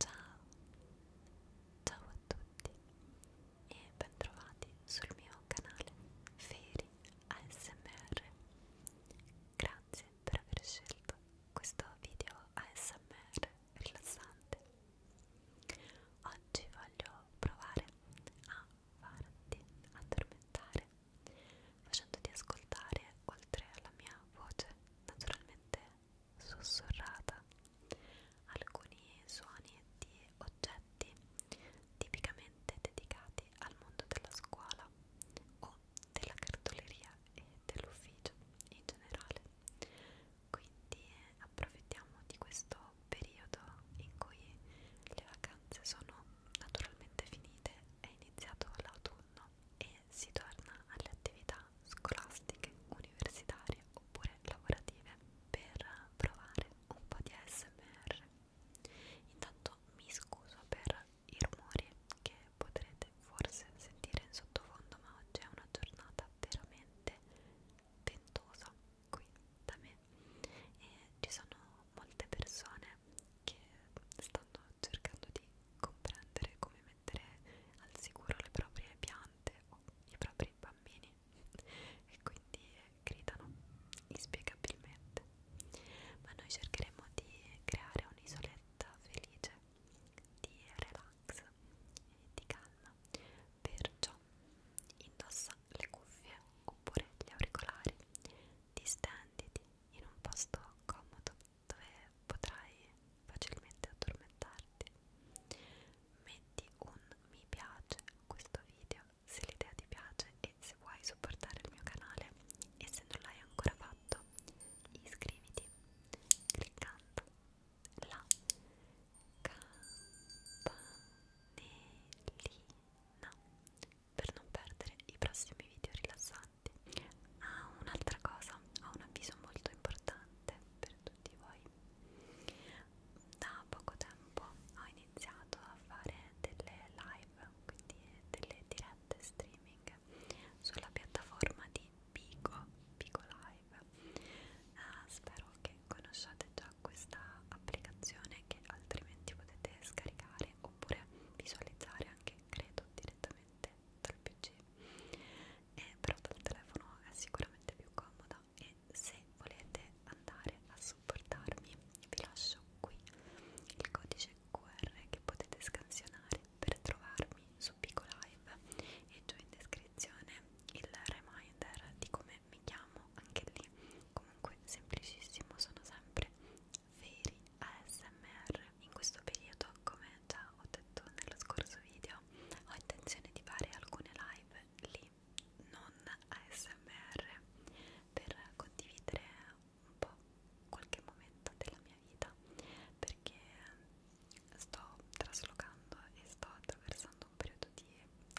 Ciao, ciao a tutti e bentrovati sul mio canale Feri ASMR. Grazie per aver scelto questo video ASMR rilassante. Oggi voglio provare a farti addormentare facendoti ascoltare oltre alla mia voce naturalmente sussurrata alcuni suoni di oggetti tipicamente dedicati al mondo della scuola o della cartoleria e dell'ufficio in generale quindi approfittiamo di questo periodo in cui le vacanze sono naturalmente finite è iniziato l'autunno sonno e si torna alle attività scolastiche, universitarie oppure lavorative per provare un po' di ASMR. Intanto mi scuso per i rumori che potrete forse sentire in sottofondo, ma oggi è una giornata veramente ventosa qui da me e ci sono molte persone che stanno cercando di comprendere come mettere al sicuro le proprie piante o i propri bambini e quindi eh, gridano inspiegabilmente ma noi cercheremo di creare un'isoletta felice di relax e di calma perciò indossa le cuffie oppure gli auricolari distenditi in un posto comodo dove potrai facilmente addormentarti. Metti un mi piace a questo video se l'idea ti piace e se vuoi supportare il mio canale e se non l'hai ancora fatto iscriviti cliccando la campanellina per non perdere i prossimi video rilassanti. Ah, un'altra cosa, ho un avviso molto importante per tutti voi. Da poco tempo ho iniziato a fare delle live, quindi delle dirette streaming sulla piattaforma di Pico, Pico Live. Uh, spero che conosciate già questa applicazione che altrimenti potete scaricare oppure visualizzare anche credo direttamente dal pc eh, però dal telefono è sicuramente più comoda e se volete andare a supportarmi vi lascio qui il codice QR che potete scansionare per trovarmi su Pico Live e giù in descrizione il reminder di come mi chiamo anche lì comunque semplicissimo sono sempre veri ASMR. In questo periodo, come già ho detto nello scorso video, ho intenzione di fare alcune live lì, non ASMR, per condividere un po' qualche momento della mia vita, perché sto traslocando e sto attraversando un periodo di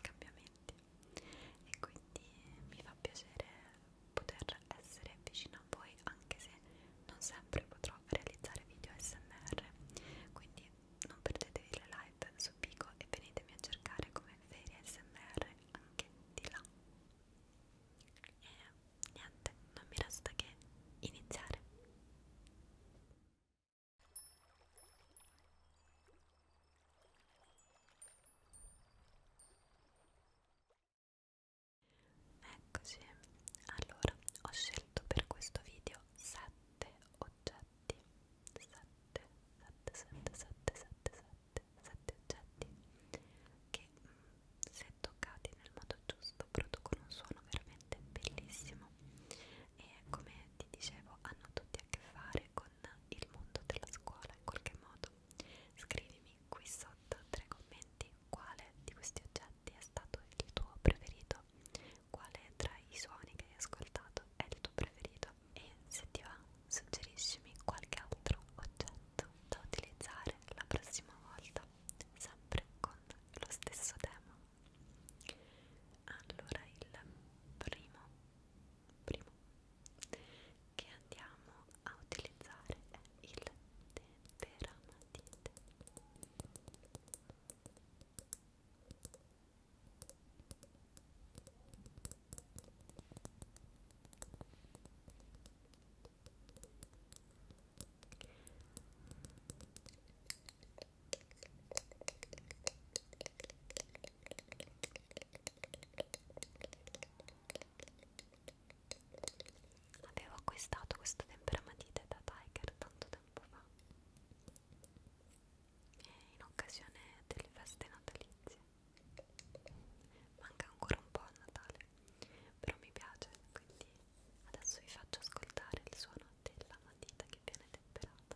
cambiamenti e quindi mi fa piacere poter essere vicino a voi anche se non sempre potrò realizzare video smr quindi non perdetevi le live su Pico e venitemi a cercare come veri smr anche di là e niente non mi resta che iniziare Eccoci, allora ho scelto per questo video 7 oggetti 7, 7, 7, 7, 7, 7, 7 oggetti che mm, se toccati nel modo giusto producono un suono veramente bellissimo e come ti dicevo hanno tutti a che fare con il mondo della scuola in qualche modo Scrivimi qui sotto tre commenti quale di questi oggetti è stato il tuo preferito, quale tra i suoni che hai ascoltato è il tuo preferito e se ti va suggeriscimi qualche altro oggetto da utilizzare la prossima volta, sempre con lo stesso tema. Allora il primo primo che andiamo a utilizzare è il temperamatite Avevo acquistato questo temperamatite da Tiger tanto tempo fa in occasione delle feste natalizie. Manca ancora un po' a Natale, però mi piace, quindi adesso vi faccio ascoltare il suono della matita che viene temperata.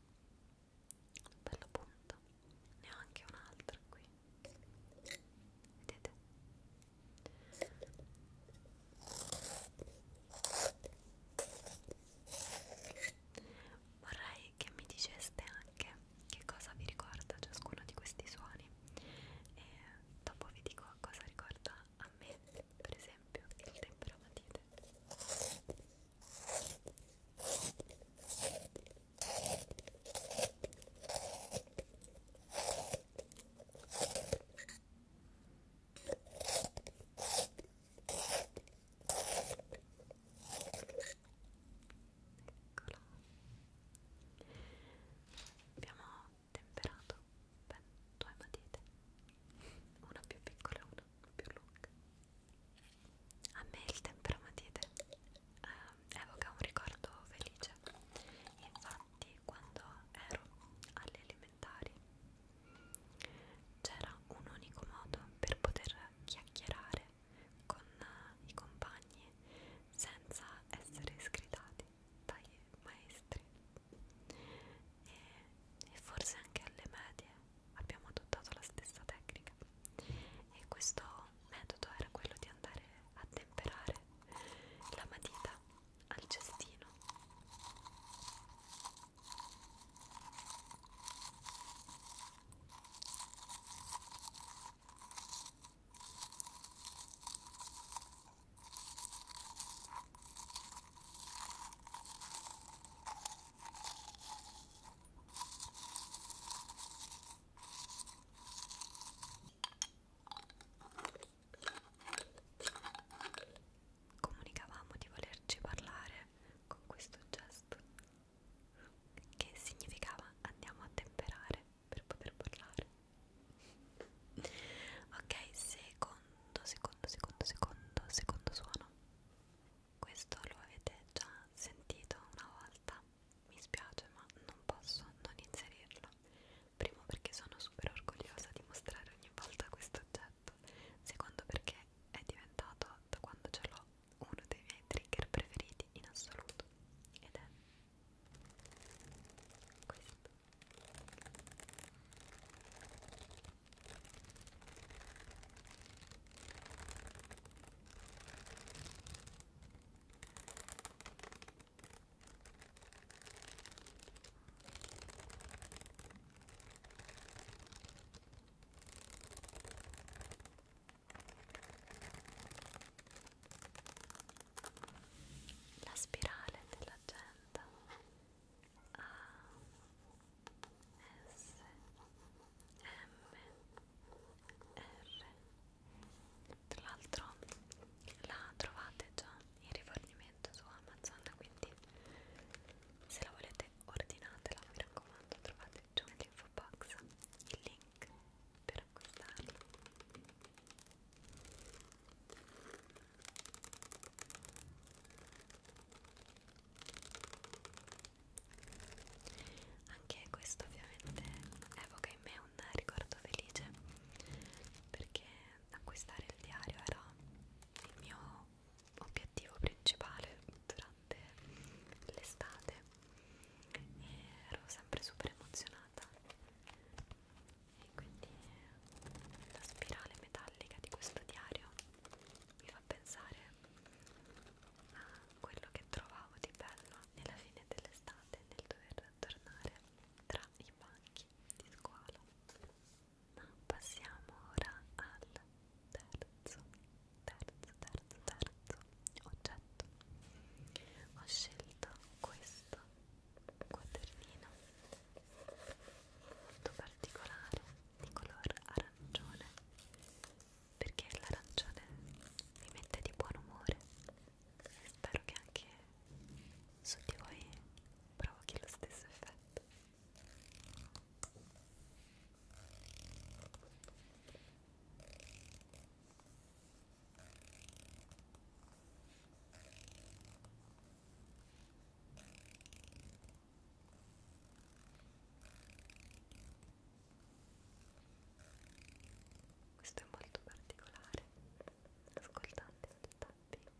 bella punta ne ho anche un'altra qui vedete vorrei che mi diceste anche che cosa vi ricorda ciascuno di questi suoni e dopo vi dico cosa ricorda a me per esempio il temperamatite Eccolo. Abbiamo temperato ben due matite una più piccola e una più lunga. A me il temperamatite eh, evoca un ricordo felice, infatti quando ero alle elementari c'era un unico modo per poter chiacchierare con eh, i compagni senza essere scritati dai maestri e, e forse anche alle medie abbiamo adottato la stessa tecnica e questo metodo era quello di andare a temperare la matita al cestino Comunicavamo di volerci parlare con questo gesto che significava andiamo a temperare per poter parlare. Ok, secondo secondo, secondo, secondo, secondo suono. Questo lo avete già sentito una volta. Mi spiace, ma non posso non inserirlo. Primo perché sono super orgogliosa di mostrare ogni volta questo oggetto. Secondo perché è diventato, da quando ce l'ho, uno dei miei trigger preferiti in assoluto. Ed è questo. La spirale dell'agenda a S M R tra l'altro la trovate già in rifornimento su Amazon quindi se la volete ordinatela mi raccomando trovate giù nell'info box il link per acquistarla anche questo ovviamente evoca in me un ricordo felice perché acquistare il diario era il mio obiettivo principale durante l'estate e ero sempre super emozionata e quindi la spirale metallica di questo diario mi fa pensare a quello che trovavo di bello nella fine dell'estate nel dover tornare tra i banchi di scuola ma passiamo ora al terzo terzo terzo terzo oggetto ho scelto questo un quadernino molto particolare di color arancione perché l'arancione mi mette di buon umore e spero che anche su di voi provochi lo stesso effetto Questo è molto particolare, ascoltate il tapping.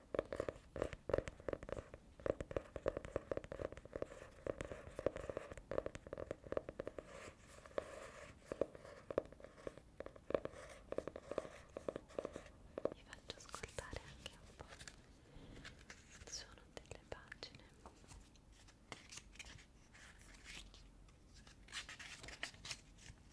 Vi faccio ascoltare anche un po' il suono delle pagine. Molto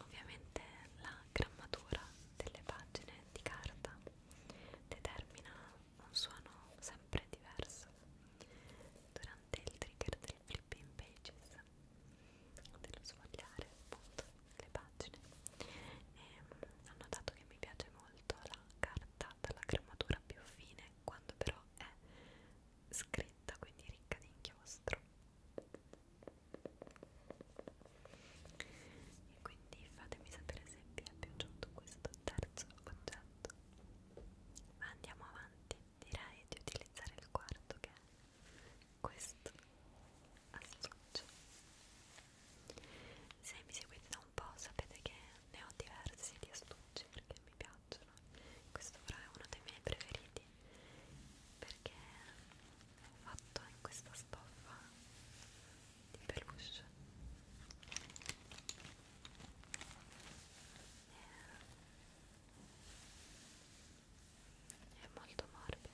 Ovviamente la grammatura delle pagine di carta determina un suono sempre diverso durante il trigger del flipping pages dello sfogliare appunto le pagine e ho notato che mi piace molto la carta dalla grammatura più fine quando però è scritta quindi ricca di inchiostro e quindi fatemi sapere se vi è piaciuto questo terzo oggetto ma andiamo avanti direi di utilizzare il quarto che è questo astuccio se mi seguite da un po' sapete che ne ho diversi di astucci perché mi piacciono questo però è uno dei miei preferiti perché è fatto in questa stoffa di peluche eh, è molto morbido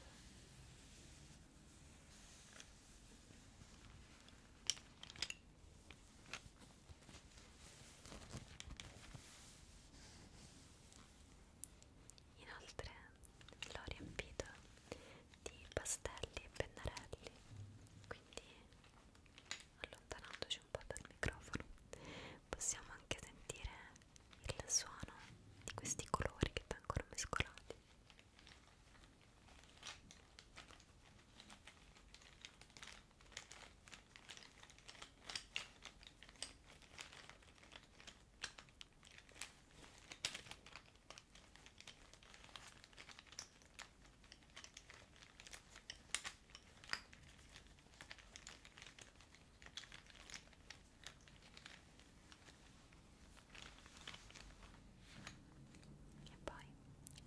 Inoltre l'ho riempito di pastelli e pennarelli, quindi allontanandoci un po' dal microfono possiamo anche sentire il suono di questi colori che vengono mescolati. E poi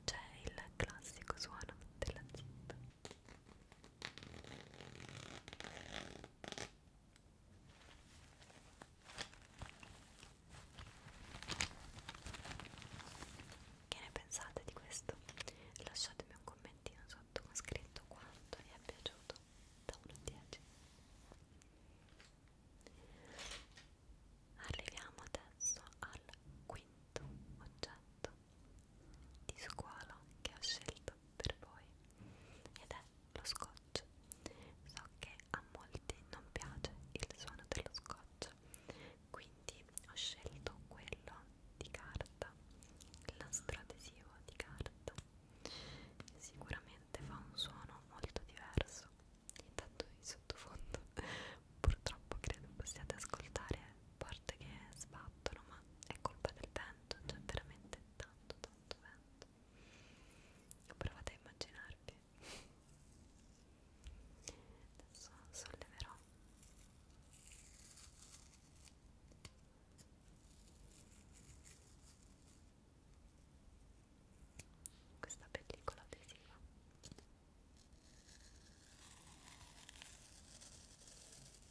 c'è il classico suono della zip che ne pensate di questo? Lasciatemi un commentino sotto con scritto quanto vi è piaciuto da 1 a 10. Arriviamo adesso al quinto oggetto di squalo che ho scelto per voi ed è lo scotch so che a molti non piace il suono dello scotch quindi ho scelto quello di carta l'astro adesivo di carta sicuramente fa un suono molto diverso intanto in sottofondo purtroppo credo possiate ascoltare porte che sbattono, ma è colpa del vento, c'è cioè veramente tanto tanto vento. Provate a immaginarvi. Adesso solleverò. Questa pellicola adesiva. Ecco.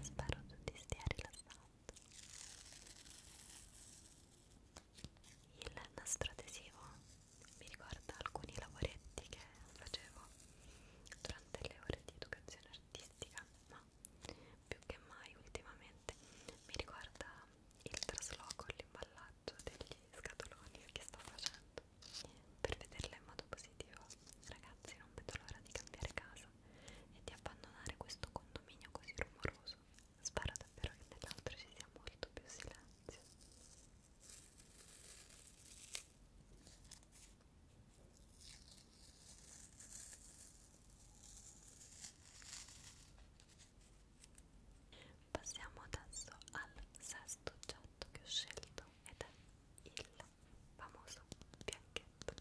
Spero tutti stia rilassando. Il nastro adesivo mi ricorda alcuni lavoretti che facevo durante le ore di educazione artistica, ma più che mai ultimamente mi ricorda il trasloco, l'imballaggio degli scatoloni che sto facendo per vederla in modo positivo. Ragazzi, non vedo l'ora di cambiare casa e di abbandonare questo condominio così rumoroso. Spero davvero che nell'altro ci sia molto più silenzio. Passiamo adesso al sesto oggetto che ho scelto ed è il famoso bianchetto.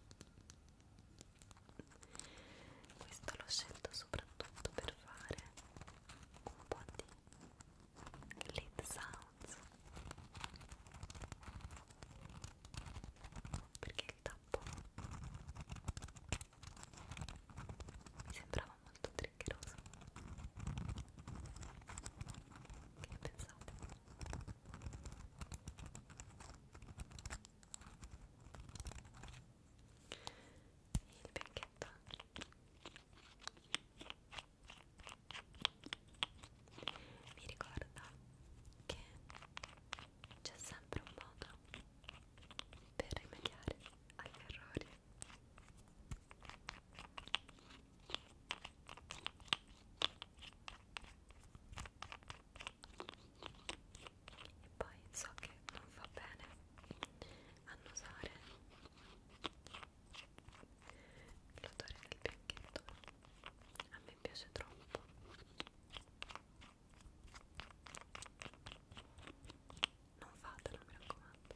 Questo l'ho scelto soprattutto per fare un po' di Lid Sounds perché il tappo mi sembrava molto triggeroso che ne pensate? il vecchietto mi ricorda che c'è sempre un modo per rimediare agli errori e poi so che non va bene annusare l'odore del bianchetto a me piace troppo non fatelo mi raccomando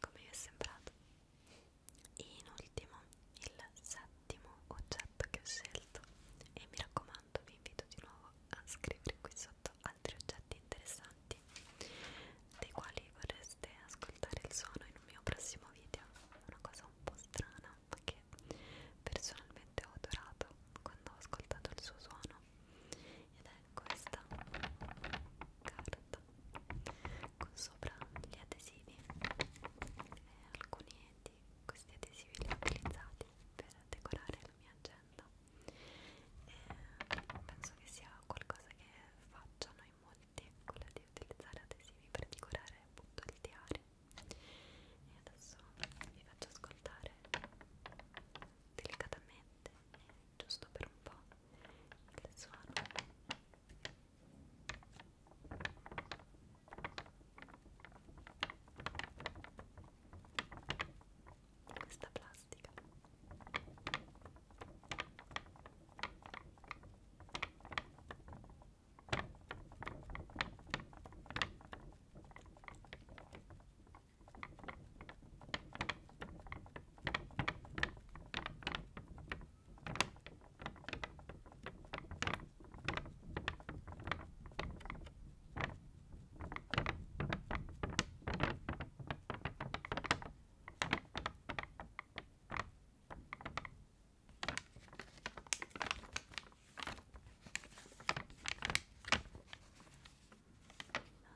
Come vi è sembrato? In ultimo, il settimo oggetto che ho scelto e mi raccomando vi invito di nuovo a scrivere qui sotto altri oggetti interessanti dei quali vorreste ascoltare il suono in un mio prossimo video una cosa un po' strana ma che personalmente ho adorato quando ho ascoltato il suo suono ed è questa carta con sopra gli adesivi e alcuni di questi adesivi li ho utilizzati per decorare nella mia agenda e eh, penso che sia qualcosa che facciano in molti quella di utilizzare adesivi per decorare appunto il diario e adesso vi faccio ascoltare delicatamente giusto per un po' il suono questa plastica non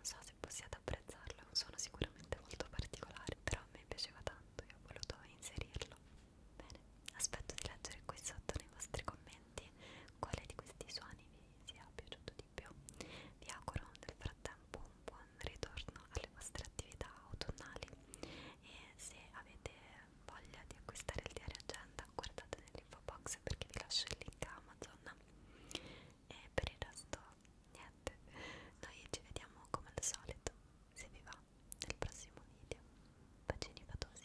so se possiate apprezzarlo, è un suono sicuramente molto particolare, però a me piaceva tanto e ho voluto inserirlo. Bene, aspetto di leggere qui sotto nei vostri commenti quale di questi suoni vi sia piaciuto di più. Vi auguro nel frattempo un buon ritorno alle vostre attività autunnali e se avete voglia di acquistare il diario agenda guardate nell'info box perché vi lascio il link a Amazon e per il resto niente noi ci vediamo come al solito se vi va nel prossimo video bacini fatosi